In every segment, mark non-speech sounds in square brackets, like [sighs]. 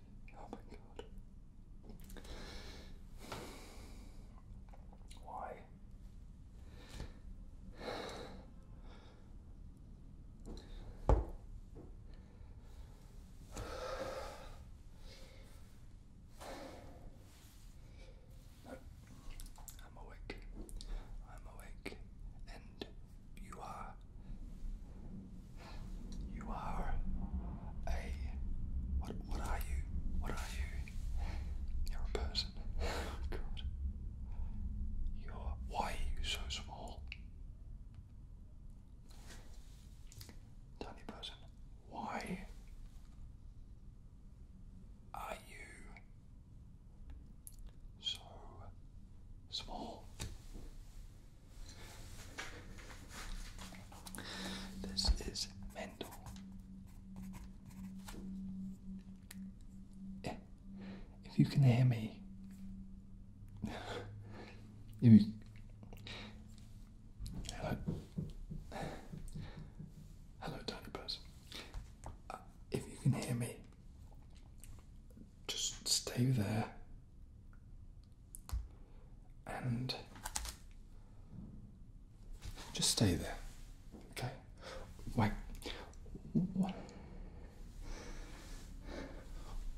Oh my god. Why? I'm awake. I'm awake, and you are you are a what? What are you? What are you? You're a person. [laughs] Oh You're. Why are you so small? Tiny person. Why are you so small? This is Mendel. Eh, if you can hear me, [laughs] if hello, hello, tiny person. Uh, if you can hear me, just stay there and just stay there. Okay? Why why,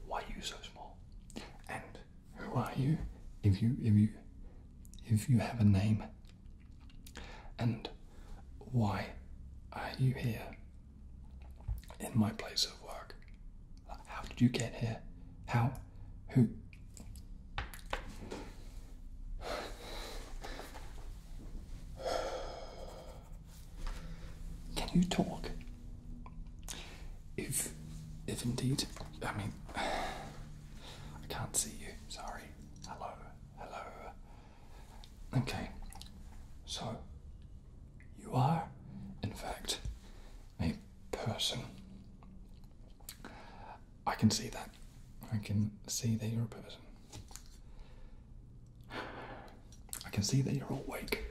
why are you so small? And who are you if you if you if you have a name? And why are you here? in my place of work. How did you get here? How? Who? Can you talk? If, if indeed, I mean, I can't see you. Sorry. Hello. Hello. Okay. So, you are, in fact, a person. I can see that. I can see that you're a person. I can see that you're awake.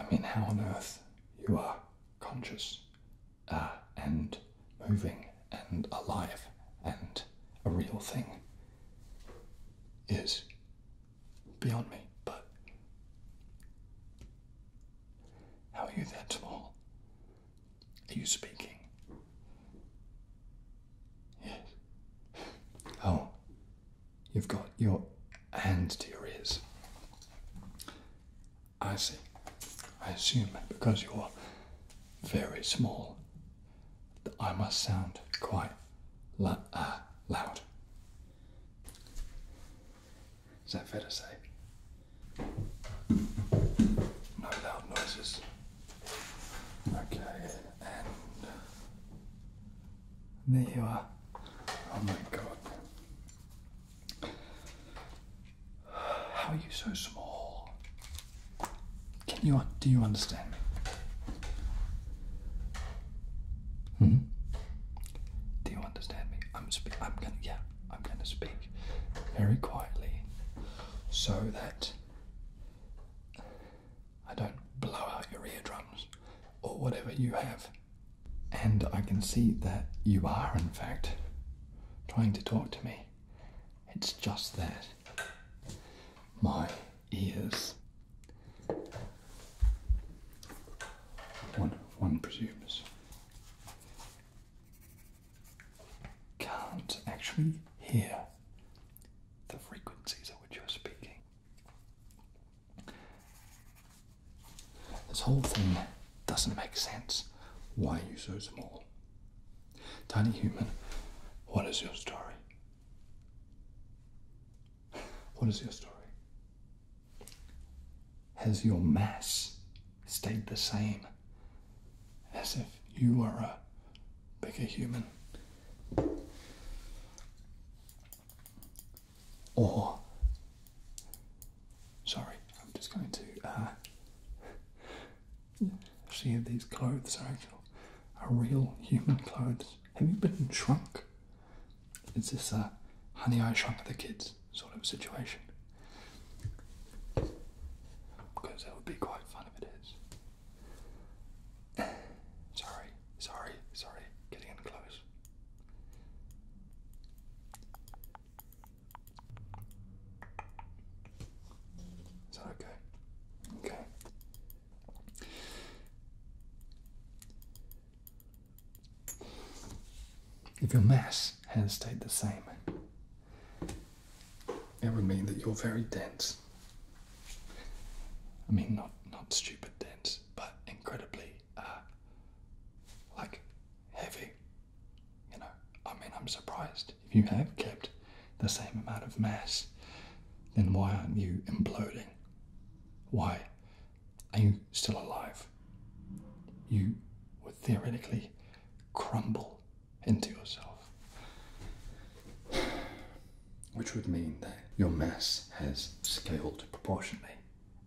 I mean, how on earth you are conscious uh, and moving and alive and a real thing is beyond me, but how are you that small? Are you speaking? Yes. Oh, you've got your hands to your ears. I see. I assume because you're very small I must sound quite uh, loud. Is that fair to say? No loud noises. Okay, and there you are. Oh my god. How are you so small? Can you do you understand me? Hmm? Do you understand me? I'm gonna yeah, I'm gonna speak very quietly so that I don't blow out your eardrums or whatever you have. And I can see that you are in fact trying to talk to me. It's just that my ears. One, one presumes. Can't actually hear the frequencies at which you're speaking. This whole thing doesn't make sense. Why are you so small? Tiny human, what is your story? What is your story? Has your mass stayed the same as if you were a bigger human? Or, sorry, I'm just going to. Uh, see if these clothes are real human clothes. Have you been shrunk? Is this a honey I shrunk the kids sort of situation? Because that would be quite fun if it is. [sighs] sorry, sorry, sorry, getting close. Is that okay? Okay. If your mass has stayed the same, it would mean that you're very dense. I mean, not not stupid dense, but incredibly, uh, like heavy. You know, I mean, I'm surprised if you have kept the same amount of mass, then why aren't you imploding? Why are you still alive? You would theoretically crumble into yourself, which would mean that your mass has scaled proportionally,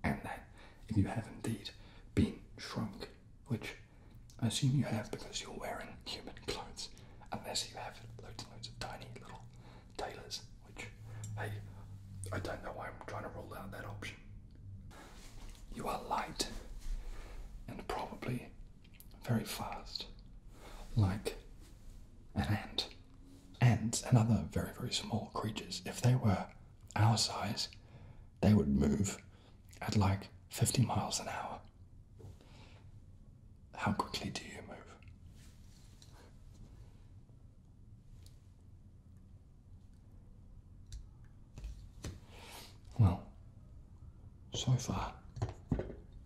and that if you have indeed been shrunk, which I assume you have because you're wearing human clothes, unless you have loads and loads of tiny little tailors, which, hey, I don't know why I'm trying to rule out that option. You are light and probably very fast, like an ant. Ants and other very, very small creatures, if they were our size, they would move at like 50 miles an hour. How quickly do you move? Well, so far,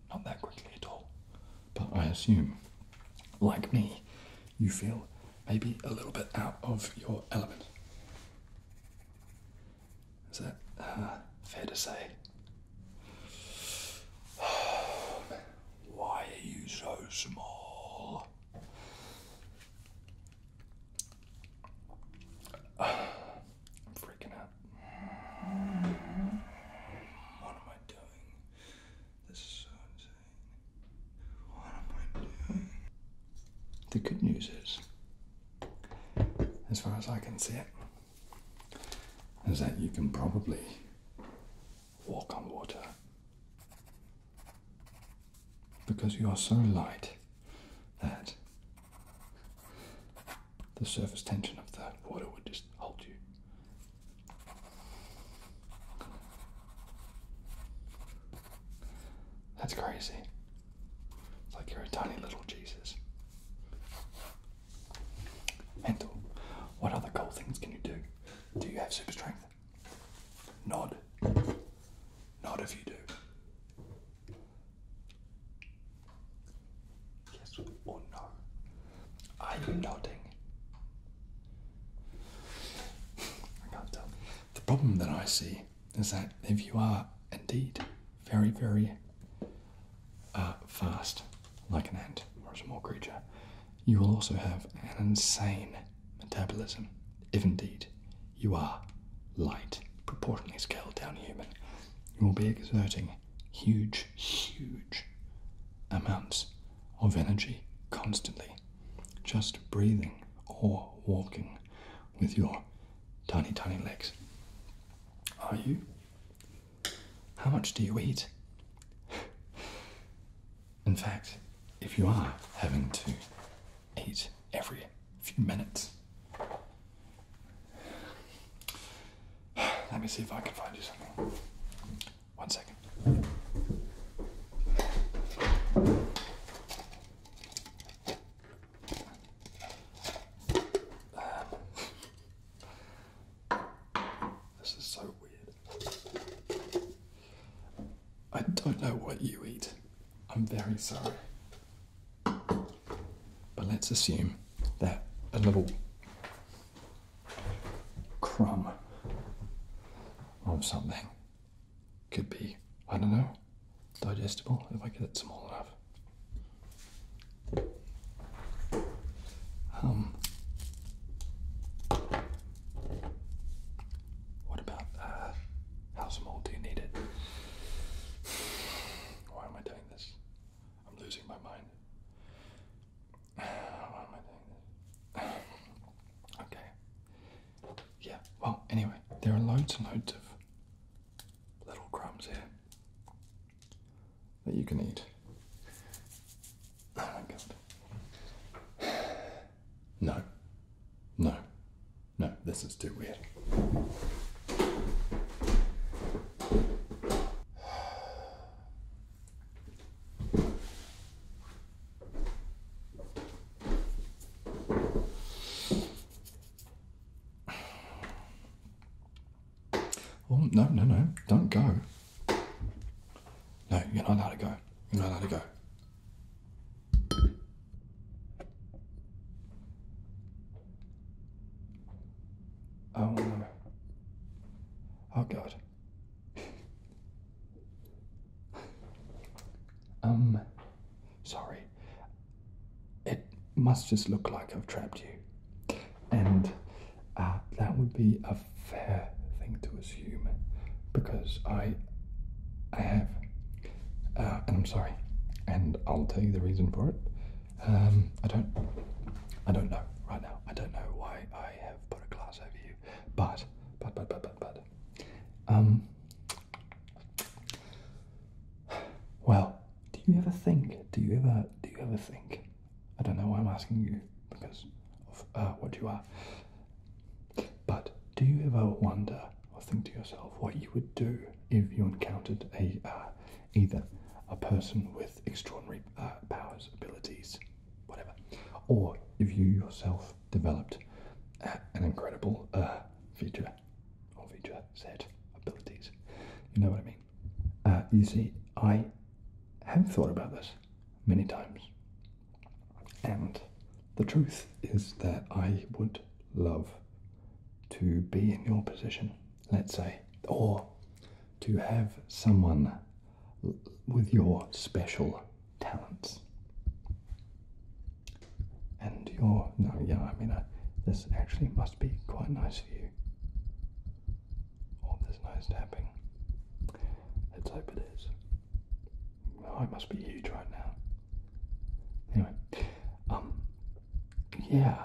not that quickly at all. But I assume, like me, you feel maybe a little bit out of your element. Is that uh, fair to say? [sighs] Why are you so small? I'm [sighs] freaking out. What am I doing? This is so insane. What am I doing? The good news is, as far as I can see it, is that you can probably walk on water because you are so light that the surface tension of the water would just hold you. That's crazy. It's like you're a tiny little Jesus. Mental. What other cool things can you do? Do you have super strength? Nod. Nod if you do. Yes or no? Are you nodding? I can't tell. The problem that I see is that if you are indeed very, very fast, like an ant or a small creature, you will also have an insane metabolism, if indeed you are light, proportionally scaled down human. You will be exerting huge, huge amounts of energy constantly, just breathing or walking with your tiny, tiny legs. Are you how much do you eat? In fact, if you are having to eat every few minutes, let me see if I can find you something. One second this is so weird. I don't know what you eat. I'm very sorry. But let's assume that a little crumb of something could be, I don't know, digestible if I get it small enough. Um, what about uh, how small do you need it? Why am I doing this? I'm losing my mind. [sighs] Why am I doing [sighs] okay. Yeah, well, anyway, there are loads and loads of little crumbs here that you can eat. Oh my god. No. No. No, this is too weird. Oh, no, no, no. Don't go. No, you're not allowed to go. You're not allowed to go. Oh, Oh, God. [laughs] um, Sorry. It must just look like I've trapped you. And uh, that would be a fair thing to assume because I, I have. Uh, and I'm sorry. And I'll tell you the reason for it. Um, I don't. I don't know right now. I don't know why I have put a glass over you, but but but but but but. Um, well, do you ever think? Do you ever do you ever think? I don't know why I'm asking you because of uh, what you are. But do you ever wonder or think to yourself what you would do if you encountered a uh, either a person with extraordinary uh, powers, abilities, whatever, or if you yourself developed an incredible uh, feature of each set abilities. You know what I mean? Uh, you see, I have thought about this many times, and the truth is that I would love to be in your position, let's say, or to have someone with your special talents. And you're no, yeah, I mean, this actually must be quite nice for you. Oh, this nice tapping. Let's hope it is. Oh, I must be huge right now. Anyway, um, yeah,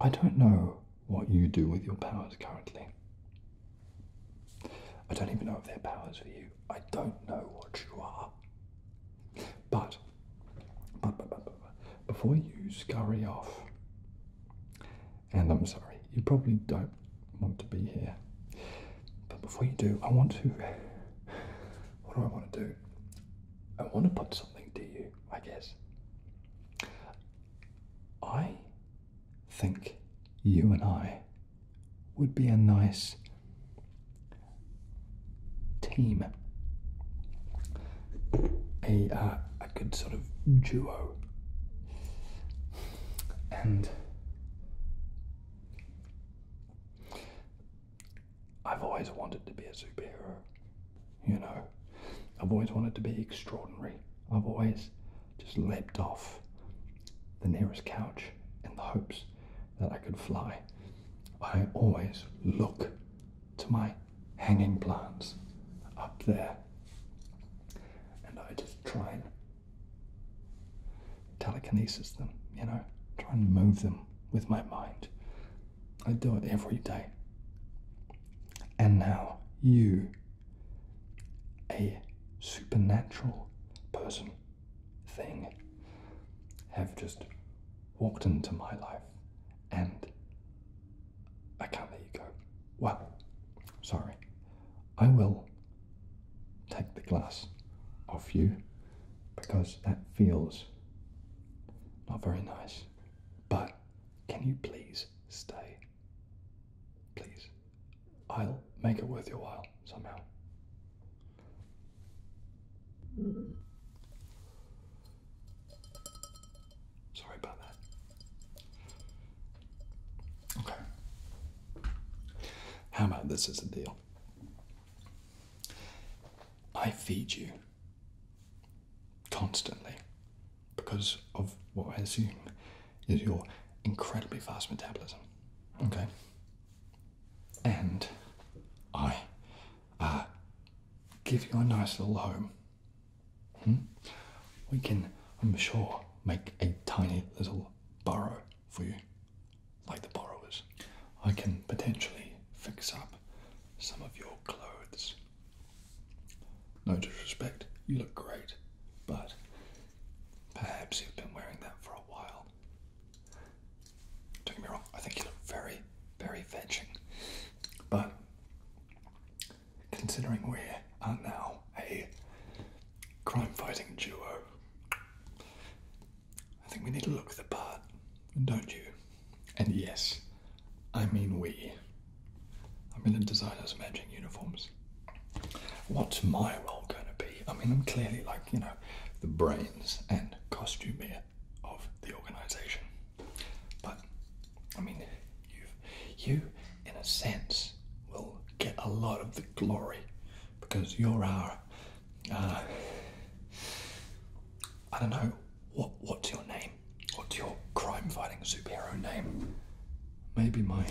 I don't know what you do with your powers currently. I don't even know if they're powers for you. I don't know what you are. But before you scurry off, and I'm sorry, you probably don't want to be here, but before you do, I want to. What do I want to do? I want to put something to you, I guess. I think you and I would be a nice team, a, uh, a good sort of duo. And I've always wanted to be a superhero, you know. I've always wanted to be extraordinary. I've always just leapt off the nearest couch in the hopes that I could fly, I always look to my hanging plants up there and I just try and telekinesis them, you know, try and move them with my mind. I do it every day. And now you, a supernatural person, thing have just walked into my life and I can't let you go. Well, sorry. I will take the glass off you because that feels not very nice. But can you please stay? Please. I'll make it worth your while somehow. Sorry about that. Okay. How about this as a deal? I feed you constantly because of what I assume is your incredibly fast metabolism. Okay? and I uh, give you a nice little home. Hmm? We can, I'm sure, make a tiny little burrow for you, like the borrowers. I can potentially fix up some of your clothes. No disrespect, you look great, but perhaps you've been wearing that for a while don't get me wrong, I think you look very, very fetching. But considering we are uh, now a crime fighting duo, I think we need to look the part, And don't you? And yes, I mean we. I'm going to design us matching uniforms. What's my role going to be? I mean, I'm clearly like you know, the brains and costumier of the organization. But, I mean, you, you, in a sense, will get a lot of the glory because you're our, uh, I don't know, what what's your name? What's your crime-fighting superhero name? Maybe my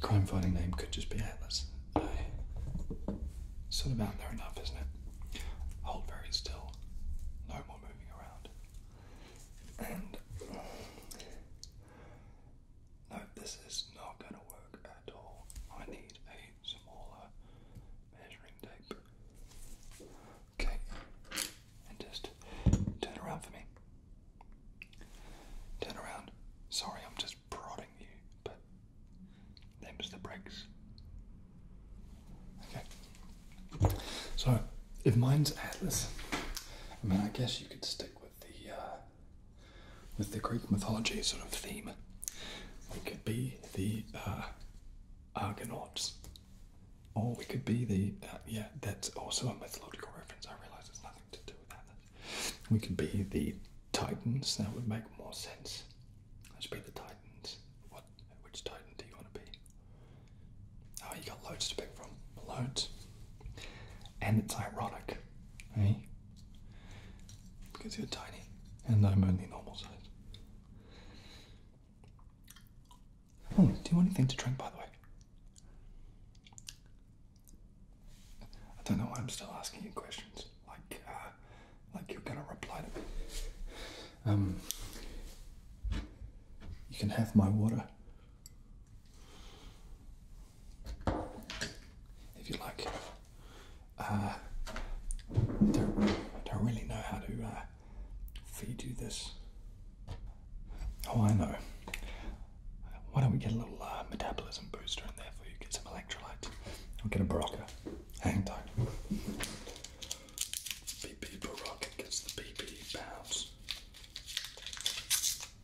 crime-fighting name could just be Atlas. I sort of out there enough, isn't it? Hold very still, no more moving around. And no, this is not going to work at all. I need a smaller measuring tape. Okay, and just turn around for me. Turn around. Sorry, I'm just just prodding you, but them's the breaks. Okay. So if mine's Atlas, I mean I guess you could stick with the uh, with the Greek mythology sort of theme. We could be the uh, Argonauts, or we could be the uh, yeah. That's also a mythological reference. I realise it's nothing to do with that. We could be the Titans, that would make more sense. Let's be the Titans. What? Which Titan do you want to be? Oh, you got loads to pick from. Loads. And it's ironic, eh? Because you're tiny and I'm only normal size. Oh, do you want anything to drink, by the way? I don't know why I'm still asking you questions. Like, uh, like you're gonna reply to me. Um, you can have my water if you like. Uh, I don't, really know how to uh, feed you this. Oh, I know. Why don't we get a little uh, metabolism booster in there for you? Get some electrolytes. I'm getting Baraka. Hang tight. BB Baraka gets the BB bounce.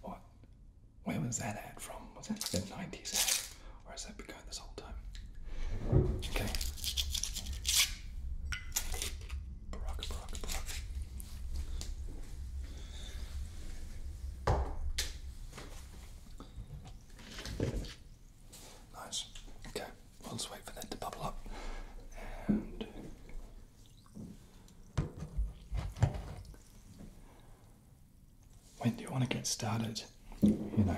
What? Where was that ad from? Was that the 90s ad? Or has that been going this whole time? Okay. Baraka, Baraka, Baraka. Nice. Okay, we'll just wait for that to bubble up. And when do you want to get started? You know,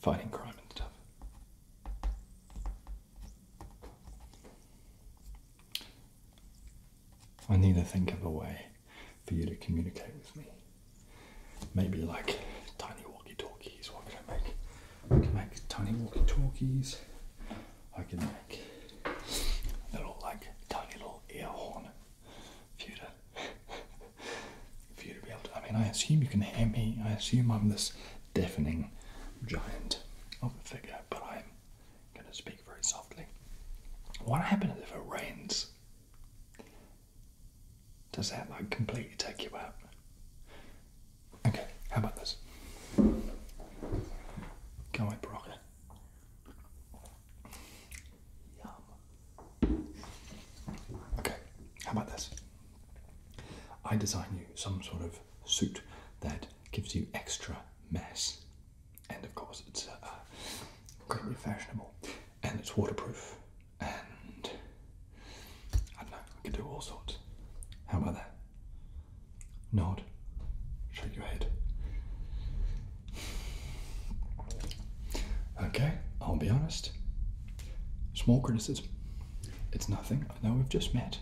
fighting crime and stuff. I need to think of a way for you to communicate with me. Maybe like tiny walkie-talkies. What can I make? I can make tiny walkie-talkies. I can make little like tiny little ear horn for you to [laughs] for you to be able to. I mean, I assume you can hear me. I assume I'm this deafening giant of a figure, but I'm going to speak very softly. What happens if it rains? Does that like completely take you out? Okay, how about this? Go away, Baraka. Yum. Okay, how about this? I design you some sort of suit that gives you extra mass and of course it's uh, incredibly fashionable, and it's waterproof, and I know, we can do all sorts. How about that? Nod, shake your head. Okay, I'll be honest. Small criticism. It's nothing. I know we've just met.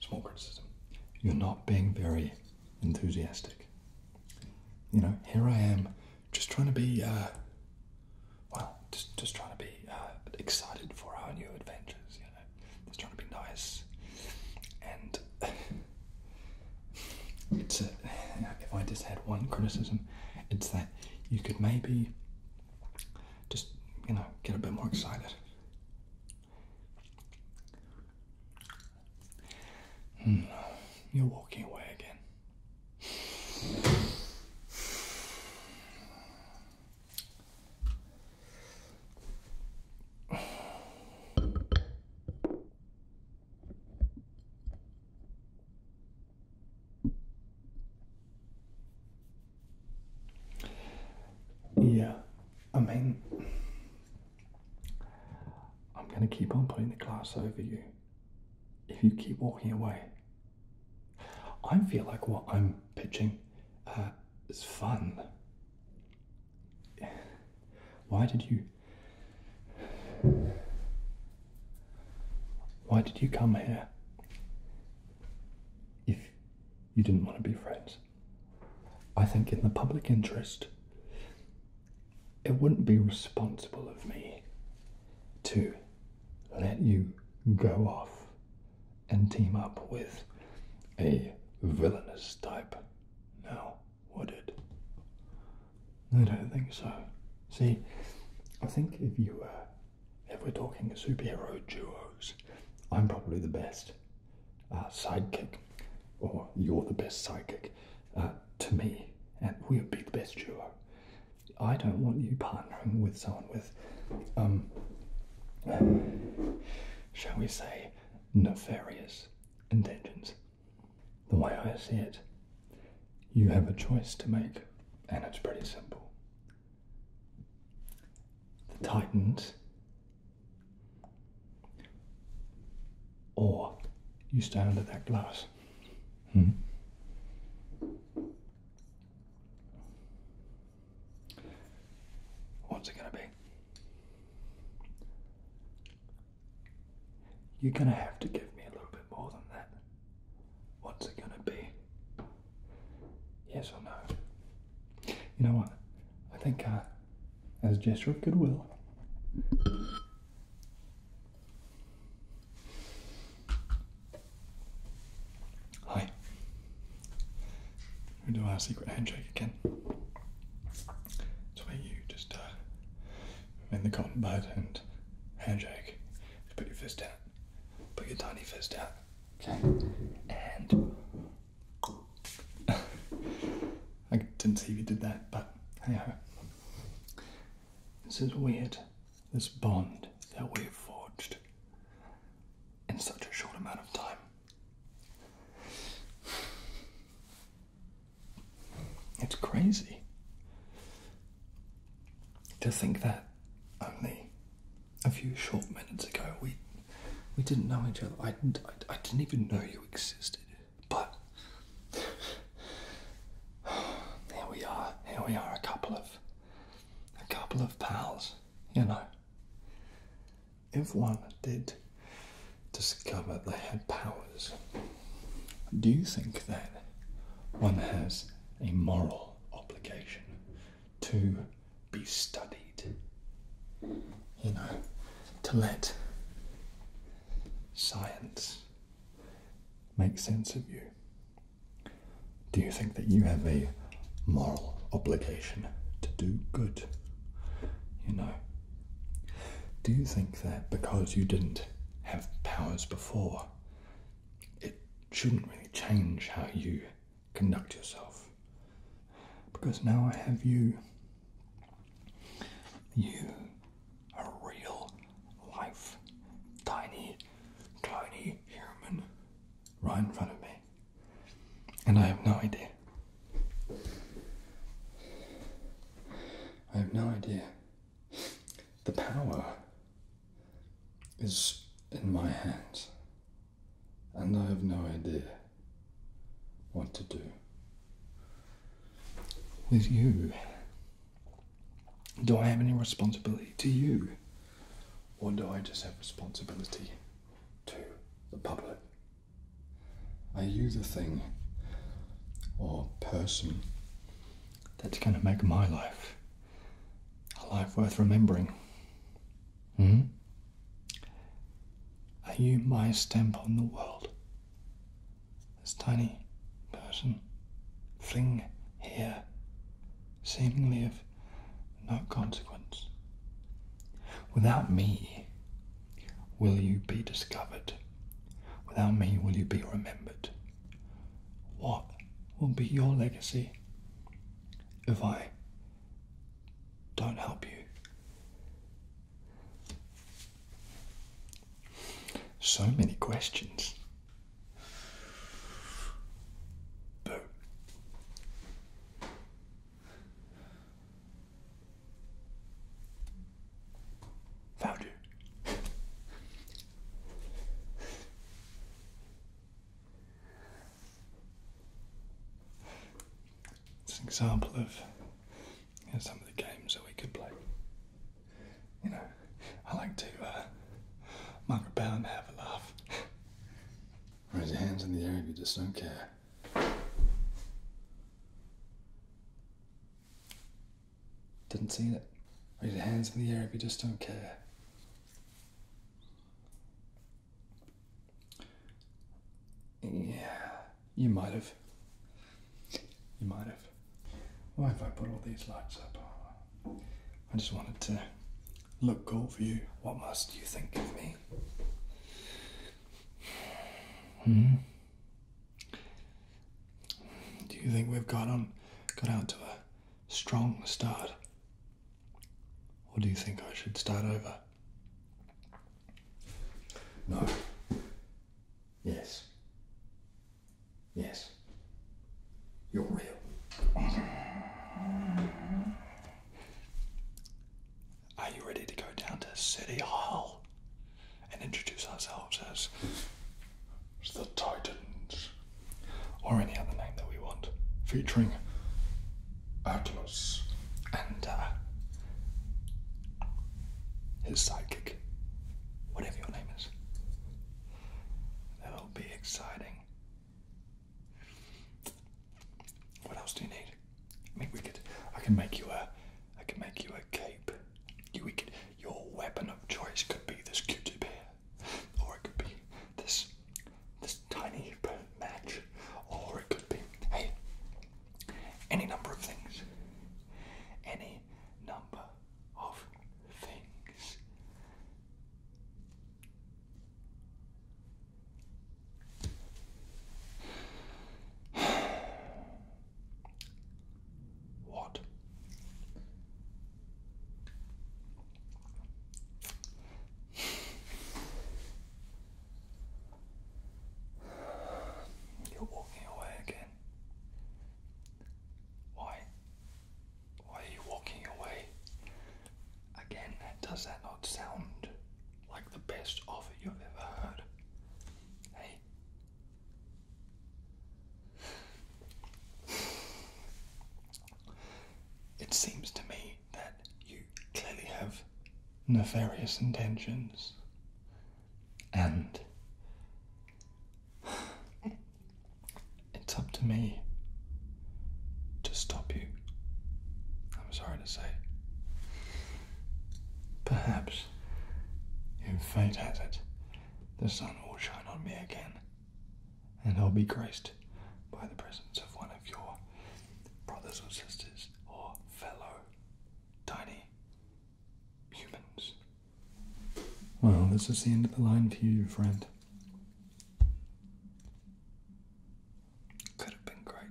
Small criticism. You're not being very enthusiastic. You know, here I am, just trying to be, uh, well, just, just trying to be uh, excited for our new adventures, you know, just trying to be nice. And [sighs] it's, if I just had one criticism, it's that you could maybe just, you know, get a bit more excited. Hmm. you're walking away again. [sighs] Yeah, I mean, I'm going to keep on putting the glass over you if you keep walking away. I feel like what I'm pitching uh, is fun. Why did you. Why did you come here if you didn't want to be friends? I think in the public interest, it wouldn't be responsible of me to let you go off and team up with a villainous type. Now, would it? I don't think so. See, I think if you if we're talking superhero duos, I'm probably the best uh, sidekick, or you're the best sidekick uh, to me, and we'll be the best duo. I don't want you partnering with someone with, um, shall we say, nefarious intentions. The way I see it, you have a choice to make, and it's pretty simple. The Titans or you stand under that glass. Hmm? What's it going to be? You're going to have to give me a little bit more than that. What's it going to be? Yes or no? You know what? I think I, uh, as a gesture of goodwill, Hi. We do our secret handshake again. It's you just uh, in the cotton bud and handshake. Just put your fist out. Put your tiny fist out. Okay. And [laughs] I didn't see you did that, but anyhow. This is weird, this bond that we've forged in such a short amount of time. It's crazy to think that only a few short minutes ago we we didn't know each other. I, didn't even know you existed. But [sighs] here we are. Here we are, a couple of, a couple of pals. You know, if one did discover they had powers, do you think that one has a moral obligation to be studied. You know, to let science make sense of you. Do you think that you have a moral obligation to do good? You know, do you think that because you didn't have powers before, it shouldn't really change how you conduct yourself. Because now I have you. You a real life tiny tiny human right in front of me. And I have no idea. I have no idea. The power is in my hands and I have no idea what to do. With you, do I have any responsibility to you, or do I just have responsibility to the public? Are you the thing or person that's going to make my life a life worth remembering? Hmm? Are you my stamp on the world? This tiny person, fling here, seemingly of no consequence. Without me, will you be discovered? Without me, will you be remembered? What will be your legacy if I don't help you. So many questions. Boo. Found you. It's an example of some of the games that we could play. You know, I like to uh, muck about and have a laugh. Raise your hands in the air if you just don't care. Didn't see it. Raise your hands in the air if you just don't care. Yeah, you might have. You might have. Why have I put all these lights up? I just wanted to look cool for you. What must you think of me? Hmm? Do you think we've got on, got out to a strong start? Or do you think I should start over? No. Yes. Yes. You're real. Are you ready to go down to City Hall and introduce ourselves as the Titans or any other name that we want featuring Atlas and uh, his sidekick, whatever your name is. That'll be exciting. What else do you need? I mean, we could. I can make you a. I can make you a cape. You, could. Your weapon of choice could be this Q-tip here, or it could be this this tiny match, or it could be, hey, any number of things. Any number of things. What? You're walking away again. Why? Why are you walking away? Again, does that not sound like the best offer you've ever heard? Hey? It seems to me that you clearly have nefarious intentions. And it's up to me to stop you. I'm sorry to say. Perhaps, if fate has it, the sun will shine on me again and I'll be graced by the presence of one of your brothers or sisters or fellow tiny humans. Well, this is the end of the line for you, friend. Could have been great.